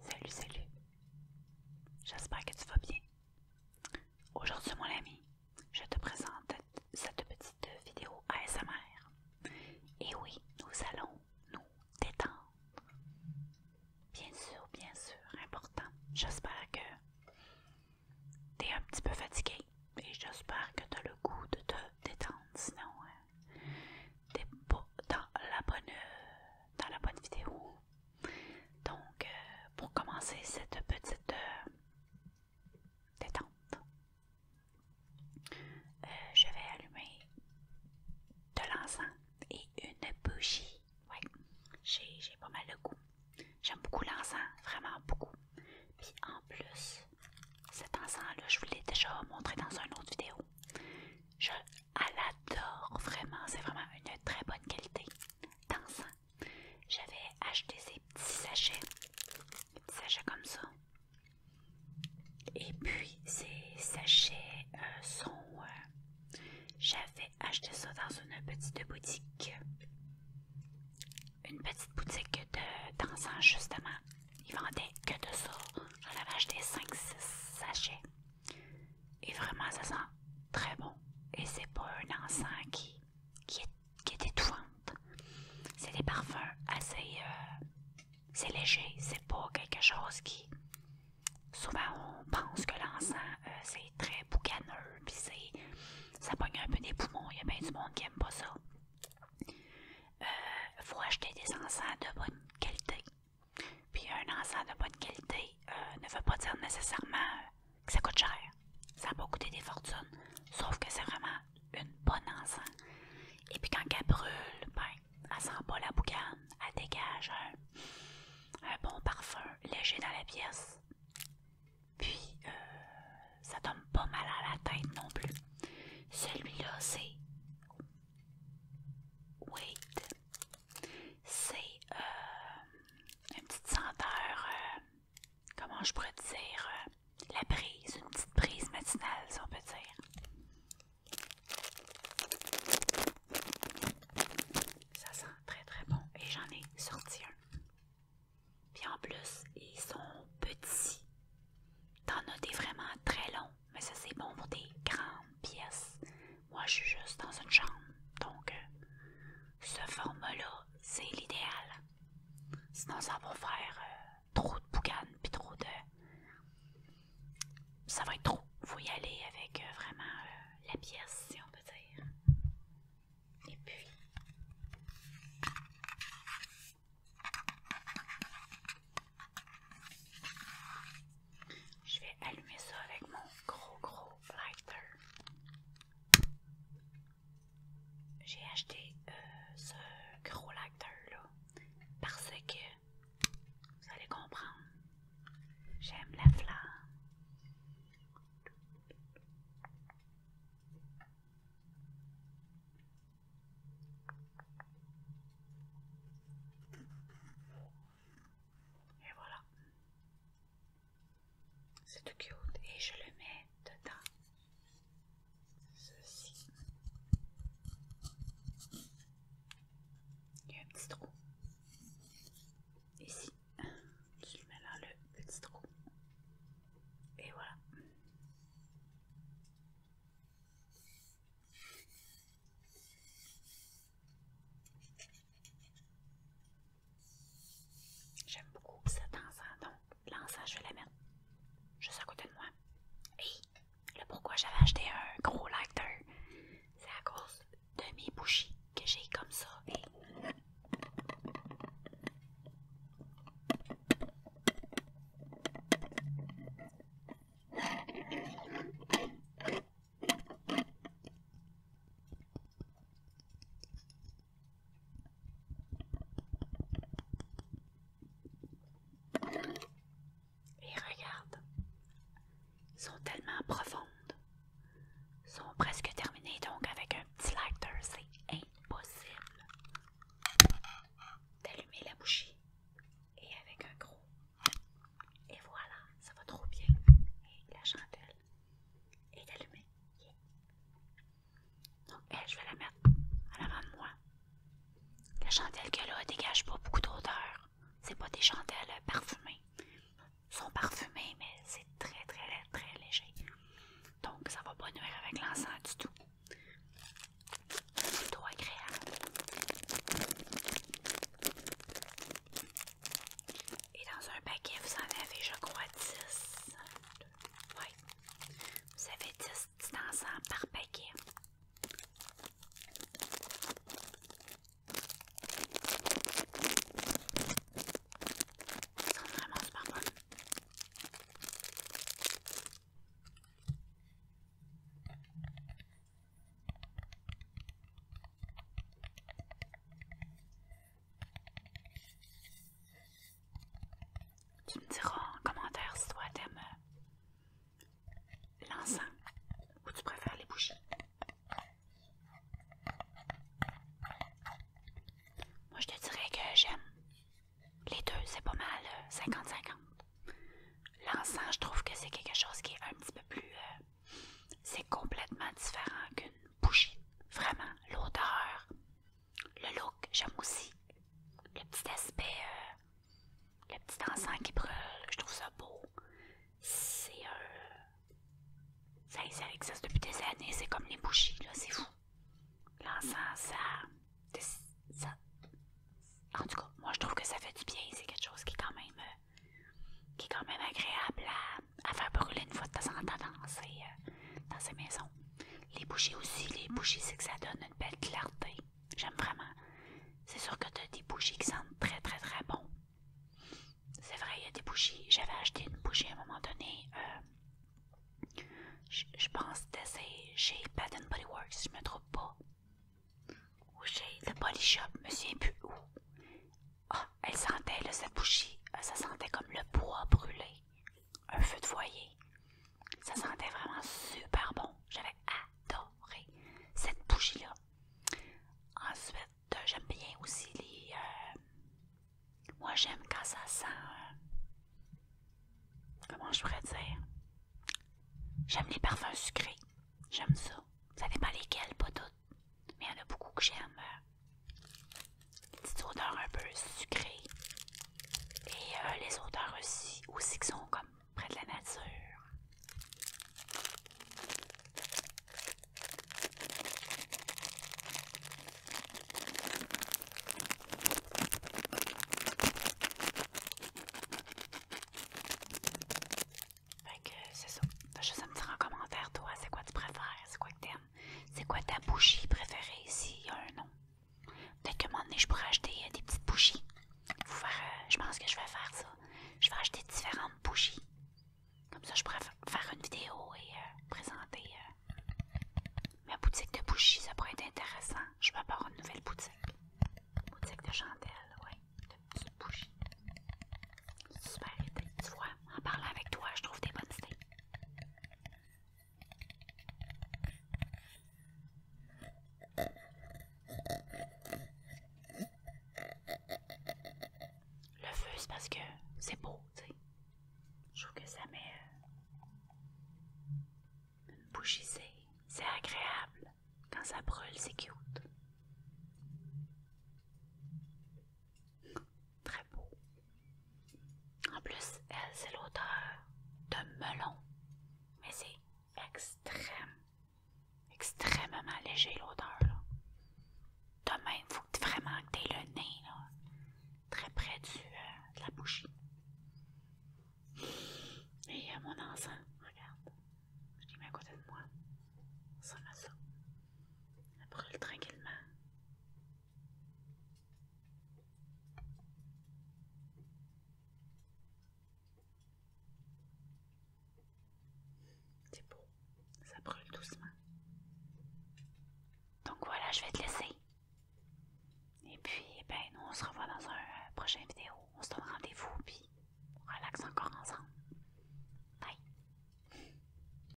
Salut, salut. J'espère que tu vas bien. Aujourd'hui, mon ami, je te présente cette petite vidéo ASMR. Et oui, nous allons nous détendre. Bien sûr, bien sûr, important. J'espère que tu es un petit peu fatigué et j'espère que tu as le goût de te détendre. Sinon, euh, dans la bonne dans la bonne vidéo. Donc euh, pour commencer cette petite euh, détente, euh, je vais allumer de l'encens et une bougie. ouais j'ai pas mal de goût. J'aime beaucoup l'encens, vraiment beaucoup. Puis en plus, cet encens-là, je vous l'ai déjà montré dans une autre vidéo. Je l'adore vraiment, c'est vraiment une très bonne qualité d'encens. J'avais acheté ces petits sachets, des sachets comme ça. Et puis ces sachets euh, sont. Euh, j'avais acheté ça dans une petite boutique. Une petite boutique de d'encens, justement, ils vendaient que de ça. J'en avais acheté 5-6 sachets. Et vraiment, ça sent très bon. Et c'est pas un encens qui, est, C'est des parfums assez. Euh, c'est léger. C'est pas quelque chose qui. Souvent, on pense que l'encens, euh, c'est très boucaneux, puis c'est, ça pogne un peu des poumons. Il y a bien du monde qui aime pas ça. Il euh, faut acheter des encens de bonne qualité. Puis un encens de bonne qualité euh, ne veut pas dire nécessairement euh, que ça coûte cher. Ça n'a pas coûté des fortunes, sauf que c'est vraiment une bonne encens. Et puis quand elle brûle, ben, elle sent pas la boucane, elle dégage un bon parfum léger dans la pièce. Puis, euh, ça donne pas mal à la tête non plus. Celui-là, c'est. Wait. C'est euh, une petite senteur. Euh, comment je pourrais dire euh, La brise, une petite brise matinale, si on peut dire. Ça sent très très bon. Et j'en ai sorti un. Puis en plus, ils sont petits. T'en as des vraiment très longs, mais ça c'est bon pour des grandes pièces. Moi, je suis juste dans une chambre, donc euh, ce format-là, c'est l'idéal. Sinon, ça va faire euh, trop de boucanes, puis trop de... Ça va être trop. Faut y aller avec euh, vraiment la pièce, si on peut dire. Et puis, je vais allumer ça avec mon gros gros lighter. J'ai acheté euh, ce gros lighter là parce que vous allez comprendre. J'aime la flamme. Et voilà. C'est tout cute. Et je le mets dedans. Ceci. Il y a un petit trou. Ici. Je le mets dans le petit trou. Et voilà. J'aime beaucoup cet enceinte, donc l'enceinte, je vais la mettre juste à côté de moi. Et le pourquoi j'avais acheté un gros lighter, c'est à cause de mes bougies que j'ai comme ça. Et... Et regarde, sont tellement profondes. sont presque terminées, donc avec un petit lighter, c'est impossible d'allumer la bougie. Et avec un gros. Et voilà, ça va trop bien. Et la chandelle est allumée. Donc, elle, je vais la mettre à l'avant de moi. La chandelle que là dégage pas beaucoup d'odeur. C'est pas des chandelles parfumées. sont parfumées, mais c'est très, très, très léger. Donc, ça va pas nuire avec l'encens du tout. C'est Plutôt agréable. Et dans un paquet, vous en avez, je crois, 10. Oui. Vous avez 10 petits par paquet. Tu me diras en commentaire si toi t'aimes euh, l'encens ou tu préfères les bougies? Moi, je te dirais que j'aime les deux, c'est pas mal 50-50. Euh, l'encens, je trouve que c'est quelque chose qui est un petit peu plus. Euh, c'est complètement différent qu'une bougie. Vraiment, l'odeur, le look, j'aime aussi. Le petit aspect euh, le petit encens qui brûle, je trouve ça beau. C'est euh, ça, ça, existe depuis des années, c'est comme les bougies, là, c'est fou. L'encens, ça, En tout cas, moi je trouve que ça fait du bien, c'est quelque chose qui est quand même, euh, qui quand même agréable à, faire brûler une fois de temps en temps dans ces, euh, dans ces maisons. Les bougies aussi, les bougies, c'est que ça donne une belle clarté. J'aime vraiment. C'est sûr que tu des bougies qui sentent très très très bon. C'est vrai, il y a des bougies. J'avais acheté une bougie à un moment donné. Euh, je, pense que c'était chez Bad Body Works, je me trompe pas. Ou chez The Body Shop, me souviens plus où. Ah, elle sentait sa sa bougie. Euh, ça sentait comme le bois brûlé. Un feu de foyer. Ça sentait vraiment super bon. J'avais adoré cette bougie-là. Ensuite, euh, j'aime bien aussi les... Euh, moi, j'aime quand ça sent... Euh, comment je pourrais dire? J'aime les parfums sucrés. J'aime ça. Ça dépend lesquels, pas toutes. Mais il y en a beaucoup que j'aime. Petite odeurs un peu sucrées. Et euh, les odeurs aussi, aussi qui sont comme près de la nature. Fait c'est ça. Juste me dire en commentaire, toi, c'est quoi tu préfères, c'est quoi que t'aimes, c'est quoi ta bougie préférée, s'il y a un nom. Peut-être que un je pourrais acheter euh, des petites bougies. Euh, je pense que je vais faire ça. Je vais acheter différentes bougies. Comme ça, je pourrais faire une vidéo et euh, présenter ma boutique de bougies. Ça pourrait être intéressant. Je vais avoir une nouvelle boutique. Boutique de chandelles, oui. De petites bougies. Super idée. Tu vois, en parlant avec toi, je trouve des bonnes idées. Le feu, c'est parce que c'est beau, tu sais. Je trouve que ça met euh, une c'est agréable. Quand ça brûle, c'est cute. Très beau. En plus, elle, c'est l'odeur de melon. Mais c'est extrême, extrêmement léger l'odeur. toi même, il faut vraiment que tu le nez là, très près euh, de la bougie. Et a euh, mon encens, regarde, je l'ai mis à côté de moi. Ça fait ça. Elle brûle tranquillement. C'est beau, ça brûle doucement. Donc voilà, je vais te laisser. Et puis, eh ben, nous, on se revoit dans un euh, prochaine vidéo. On se donne rendez-vous, puis on relaxe encore ensemble. Bye!